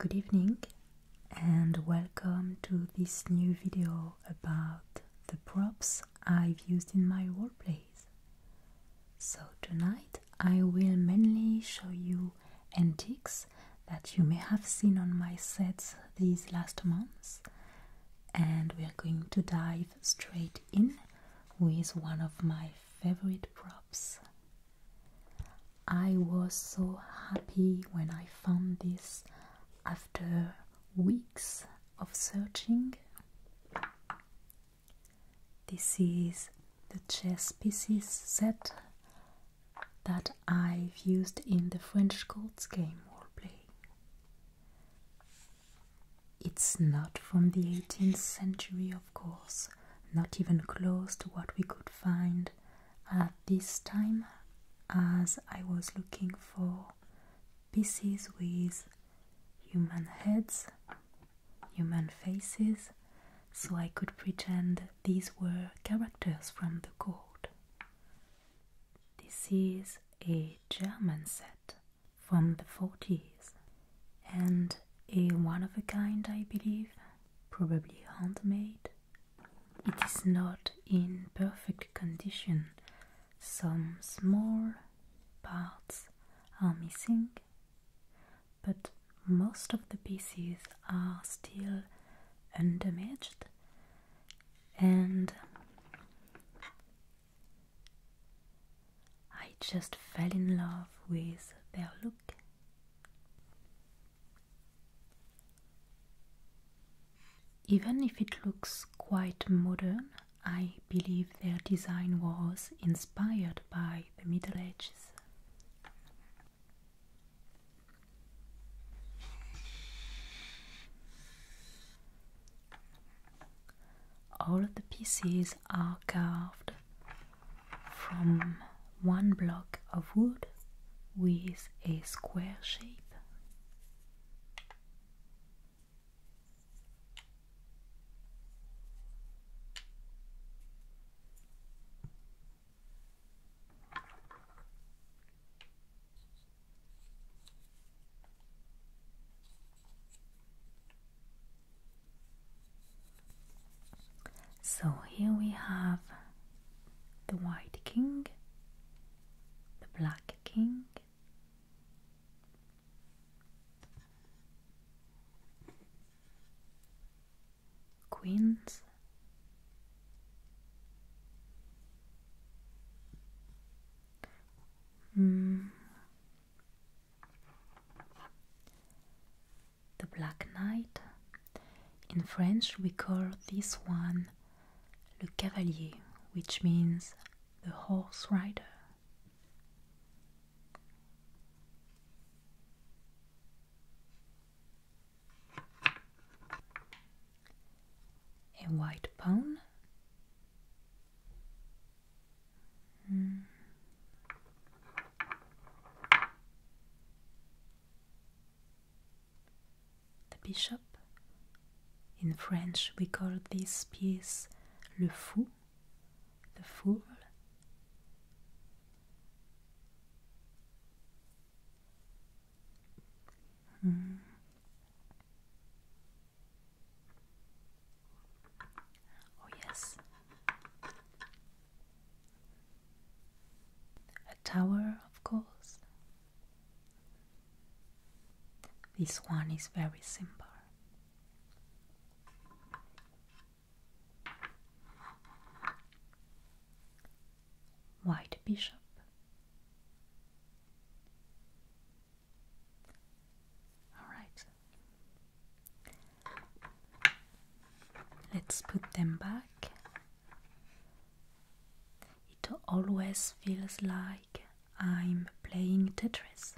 Good evening and welcome to this new video about the props I've used in my workplace. So tonight I will mainly show you antiques that you may have seen on my sets these last months, and we are going to dive straight in with one of my favorite props. I was so happy when I found this after weeks of searching. This is the chess pieces set that I've used in the French Courts game roleplay. It's not from the 18th century, of course, not even close to what we could find at this time, as I was looking for pieces with human heads human faces so I could pretend these were characters from the court. This is a German set from the 40s and a one of a kind, I believe, probably handmade. It is not in perfect condition, some small parts are missing but most of the pieces are still undamaged and I just fell in love with their look. Even if it looks quite modern, I believe their design was inspired by the Middle Ages. All of the pieces are carved from one block of wood with a square shape. So here we have the white king, the black king, Queens. Hmm. The Black Knight. In French, we call this one Le Cavalier, which means the horse rider. A white pawn. Hmm. The bishop. In French, we call this piece le fou, the fool. Hmm. Oh, yes. A tower, of course. This one is very simple. White Bishop. All right. Let's put them back. It always feels like I'm playing Tetris.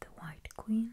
The White Queen,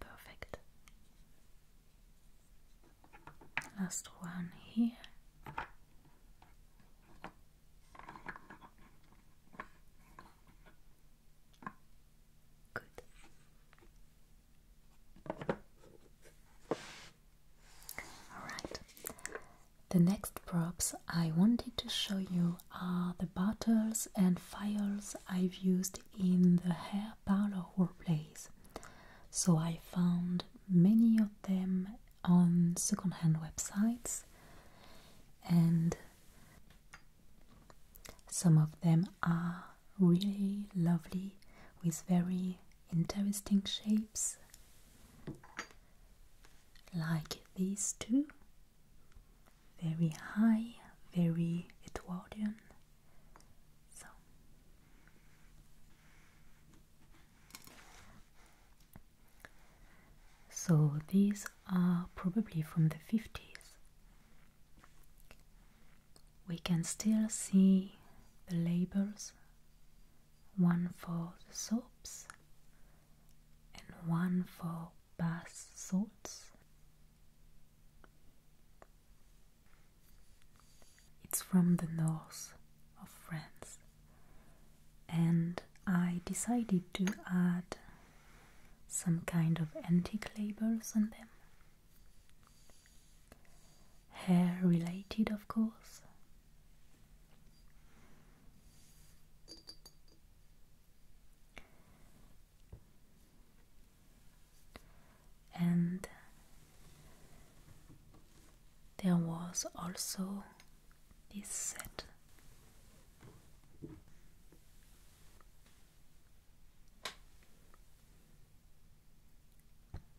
Perfect. Last one here. Good. All right. The next props I wanted to show you are the bottles and files I've used in the hair parlor workplace. So I found many of them on secondhand websites and some of them are really lovely with very interesting shapes like these two very high, very Edwardian. So these are probably from the 50s. We can still see the labels one for the soaps and one for bass salts. It's from the north of France, and I decided to add some kind of antique labels on them. Hair related, of course and there was also this set.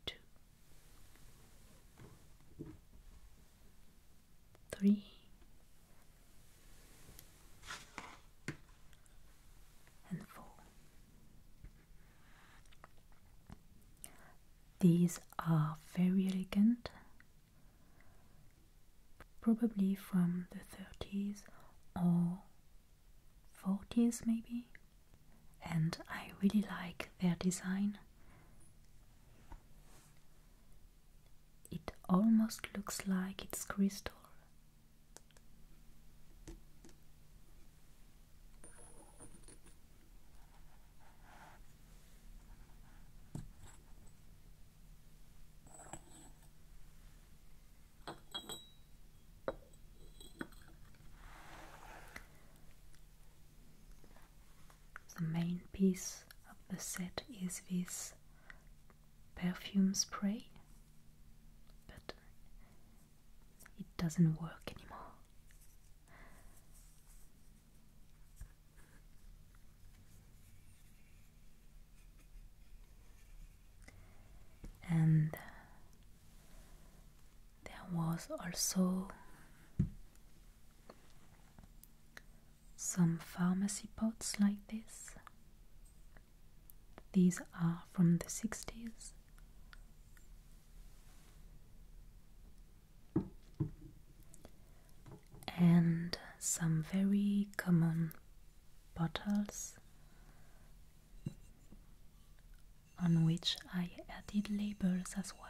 Two, three, and 4. These are very elegant, probably from the 30s or 40s maybe, and I really like their design. It almost looks like it's crystal. The main piece of the set is this perfume spray, but it doesn't work anymore. And there was also some pharmacy pots like this. These are from the 60s. And some very common bottles on which I added labels as well.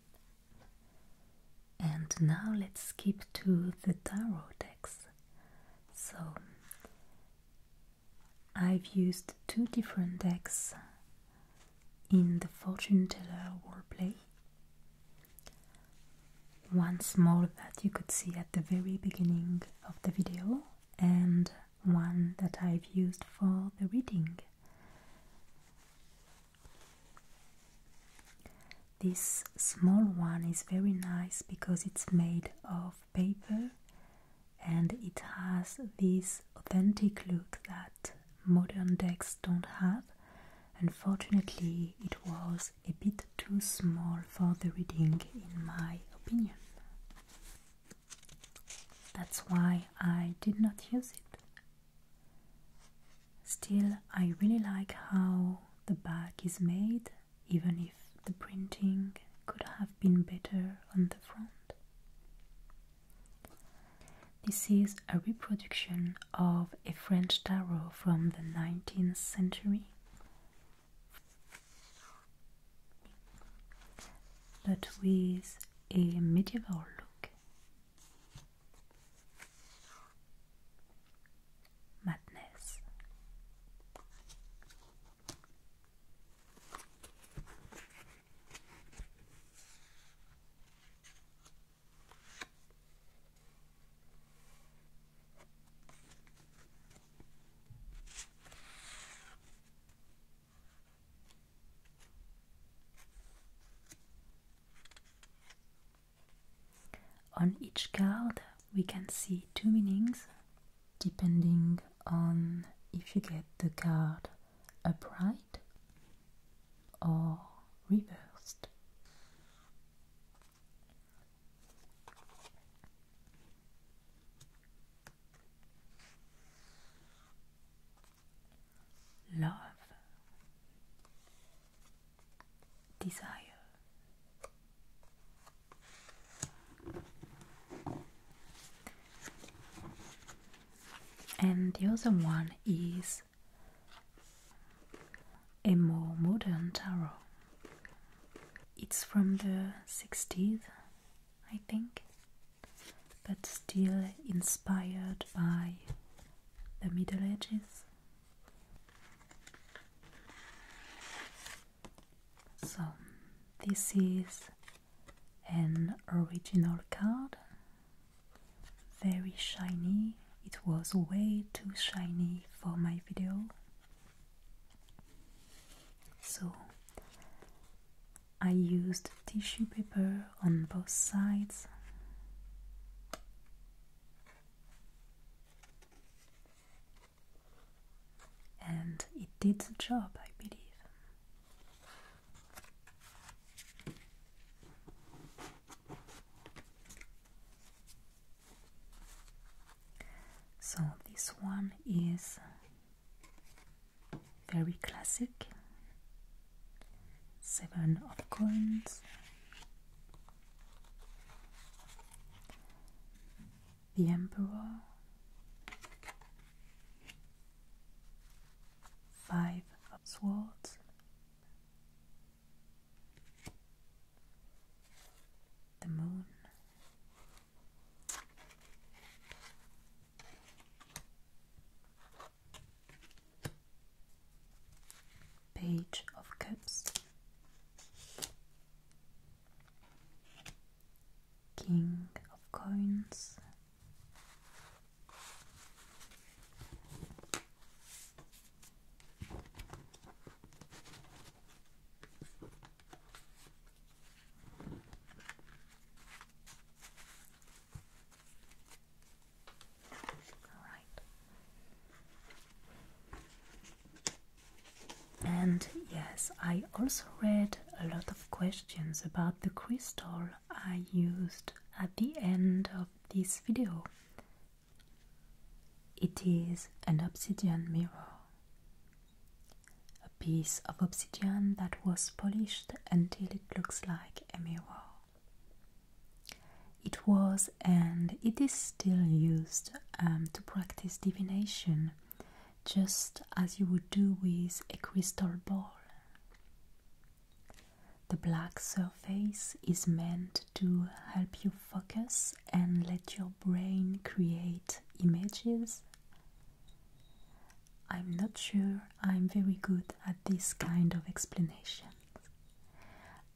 And now let's skip to the tarot decks. So I've used two different decks in the fortune teller play. One small that you could see at the very beginning of the video and one that I've used for the reading. This small one is very nice because it's made of paper and it has this authentic look that modern decks don't have. Unfortunately, it was a bit too small for the reading, in my opinion. That's why I did not use it. Still, I really like how the back is made, even if the printing could have been better on the front. This is a reproduction of a French tarot from the 19th century. But with a medieval look Madness. On each card, we can see two meanings depending on if you get the card upright or reversed. Love desire. And the other one is a more modern tarot. It's from the 60s, I think, but still inspired by the Middle Ages so, this is an original card, very shiny. It was way too shiny for my video. So, I used tissue paper on both sides and it did the job, I believe. So, this one is very classic seven of coins. The Emperor, five of swords, the moon, Page of Cups, King of Coins, and yes, I also read a lot of questions about the crystal I used at the end of this video. It is an obsidian mirror. A piece of obsidian that was polished until it looks like a mirror. It was and it is still used um, to practice divination, just as you would do with a crystal ball. The black surface is meant to help you focus and let your brain create images. I'm not sure I'm very good at this kind of explanation.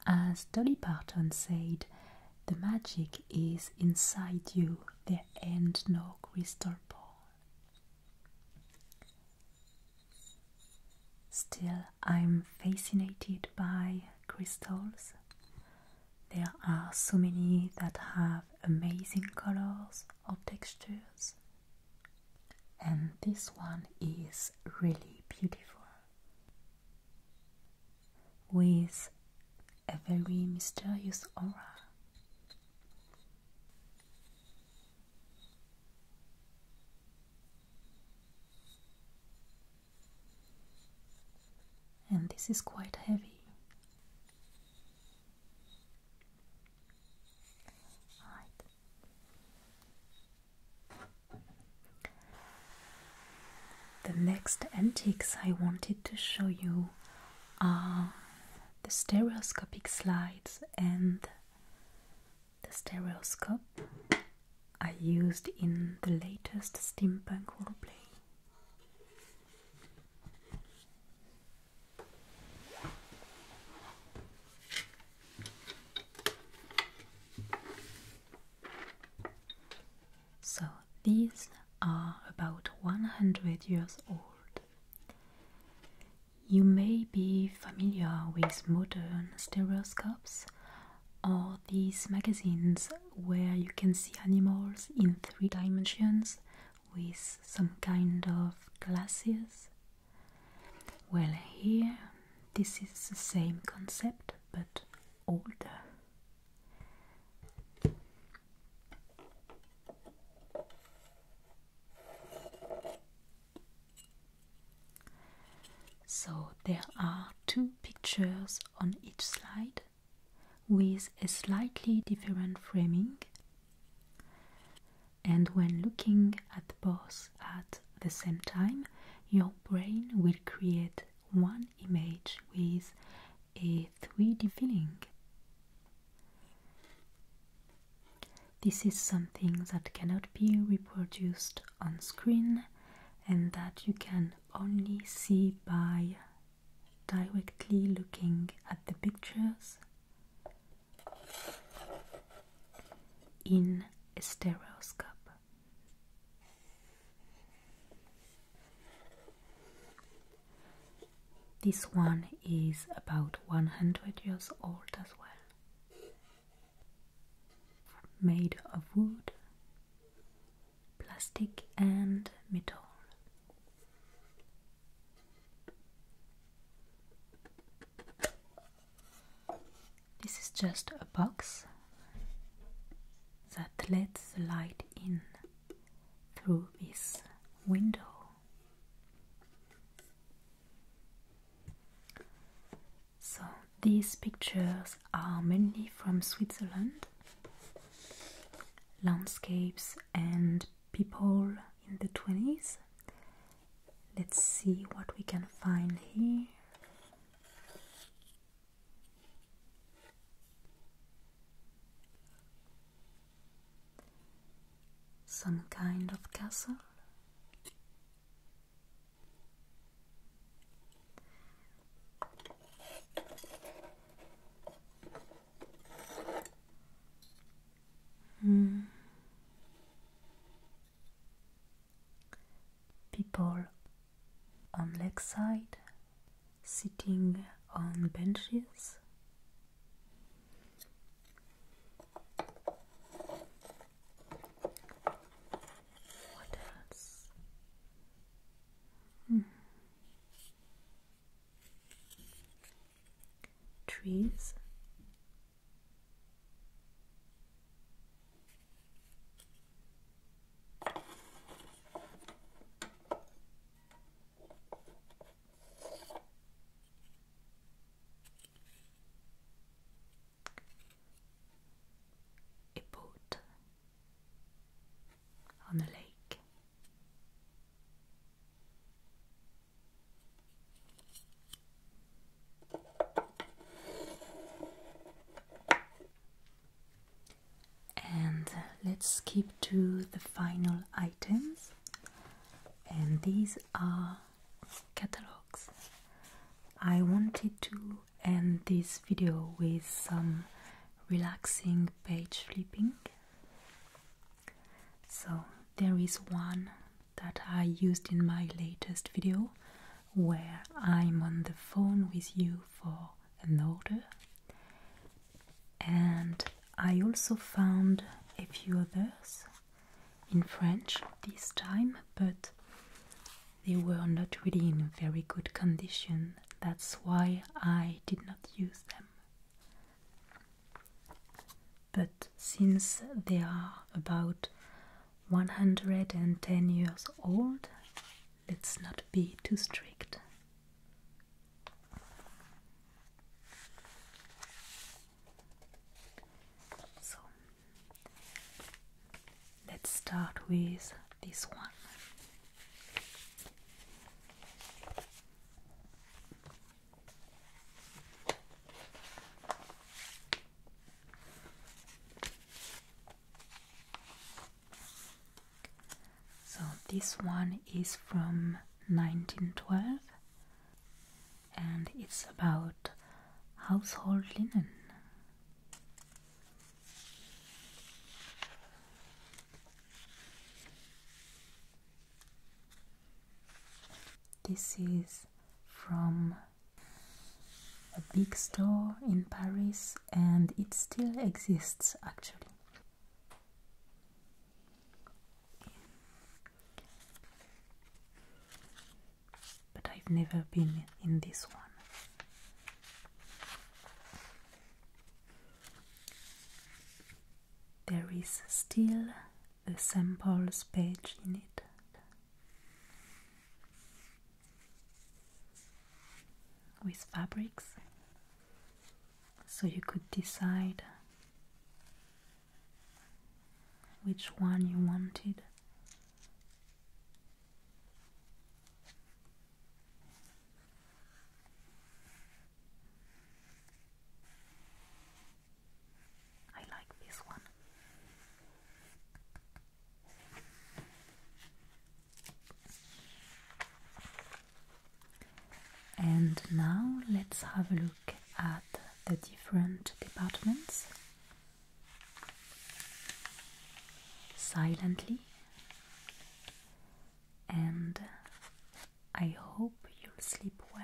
As Dolly Parton said, the magic is inside you, there and no crystal ball. Still, I'm fascinated by crystals. There are so many that have amazing colors or textures and this one is really beautiful with a very mysterious aura. And this is quite heavy. All right. The next antics I wanted to show you are the stereoscopic slides and the stereoscope I used in the latest steampunk roleplay. So these are about 100 years old. You may be familiar with modern stereoscopes or these magazines where you can see animals in three dimensions with some kind of glasses well, here this is the same concept but older. So there are two pictures on each slide with a slightly different framing and when looking at both at the same time, your brain will create one image with a 3D feeling. This is something that cannot be reproduced on screen and that you can only see by directly looking at the pictures in a stereoscope. This one is about 100 years old as well. Made of wood, plastic, and metal. This is just a box that lets the light in through this window. So these pictures are mainly from Switzerland, landscapes and people in the 20s Let's see what we can find here. Some kind of castle. Hmm. People on lakeside, sitting on benches. What hmm. Trees a boat on the lake. And uh, let's skip to the final items, and these are catalogs. I wanted to end this video with some relaxing page flipping. So, there is one that I used in my latest video where I'm on the phone with you for an order. And I also found a few others in French this time, but they were not really in very good condition. That's why I did not use them but since they are about 110 years old, let's not be too strict. So let's start with this one. So this one is from 1912 and it's about household linen. This is from a big store in Paris and it still exists actually. But I've never been in this one. There is still a samples page in it. With fabrics, so you could decide which one you wanted. I like this one. And now let's have a look at the different departments silently. And I hope you'll sleep well.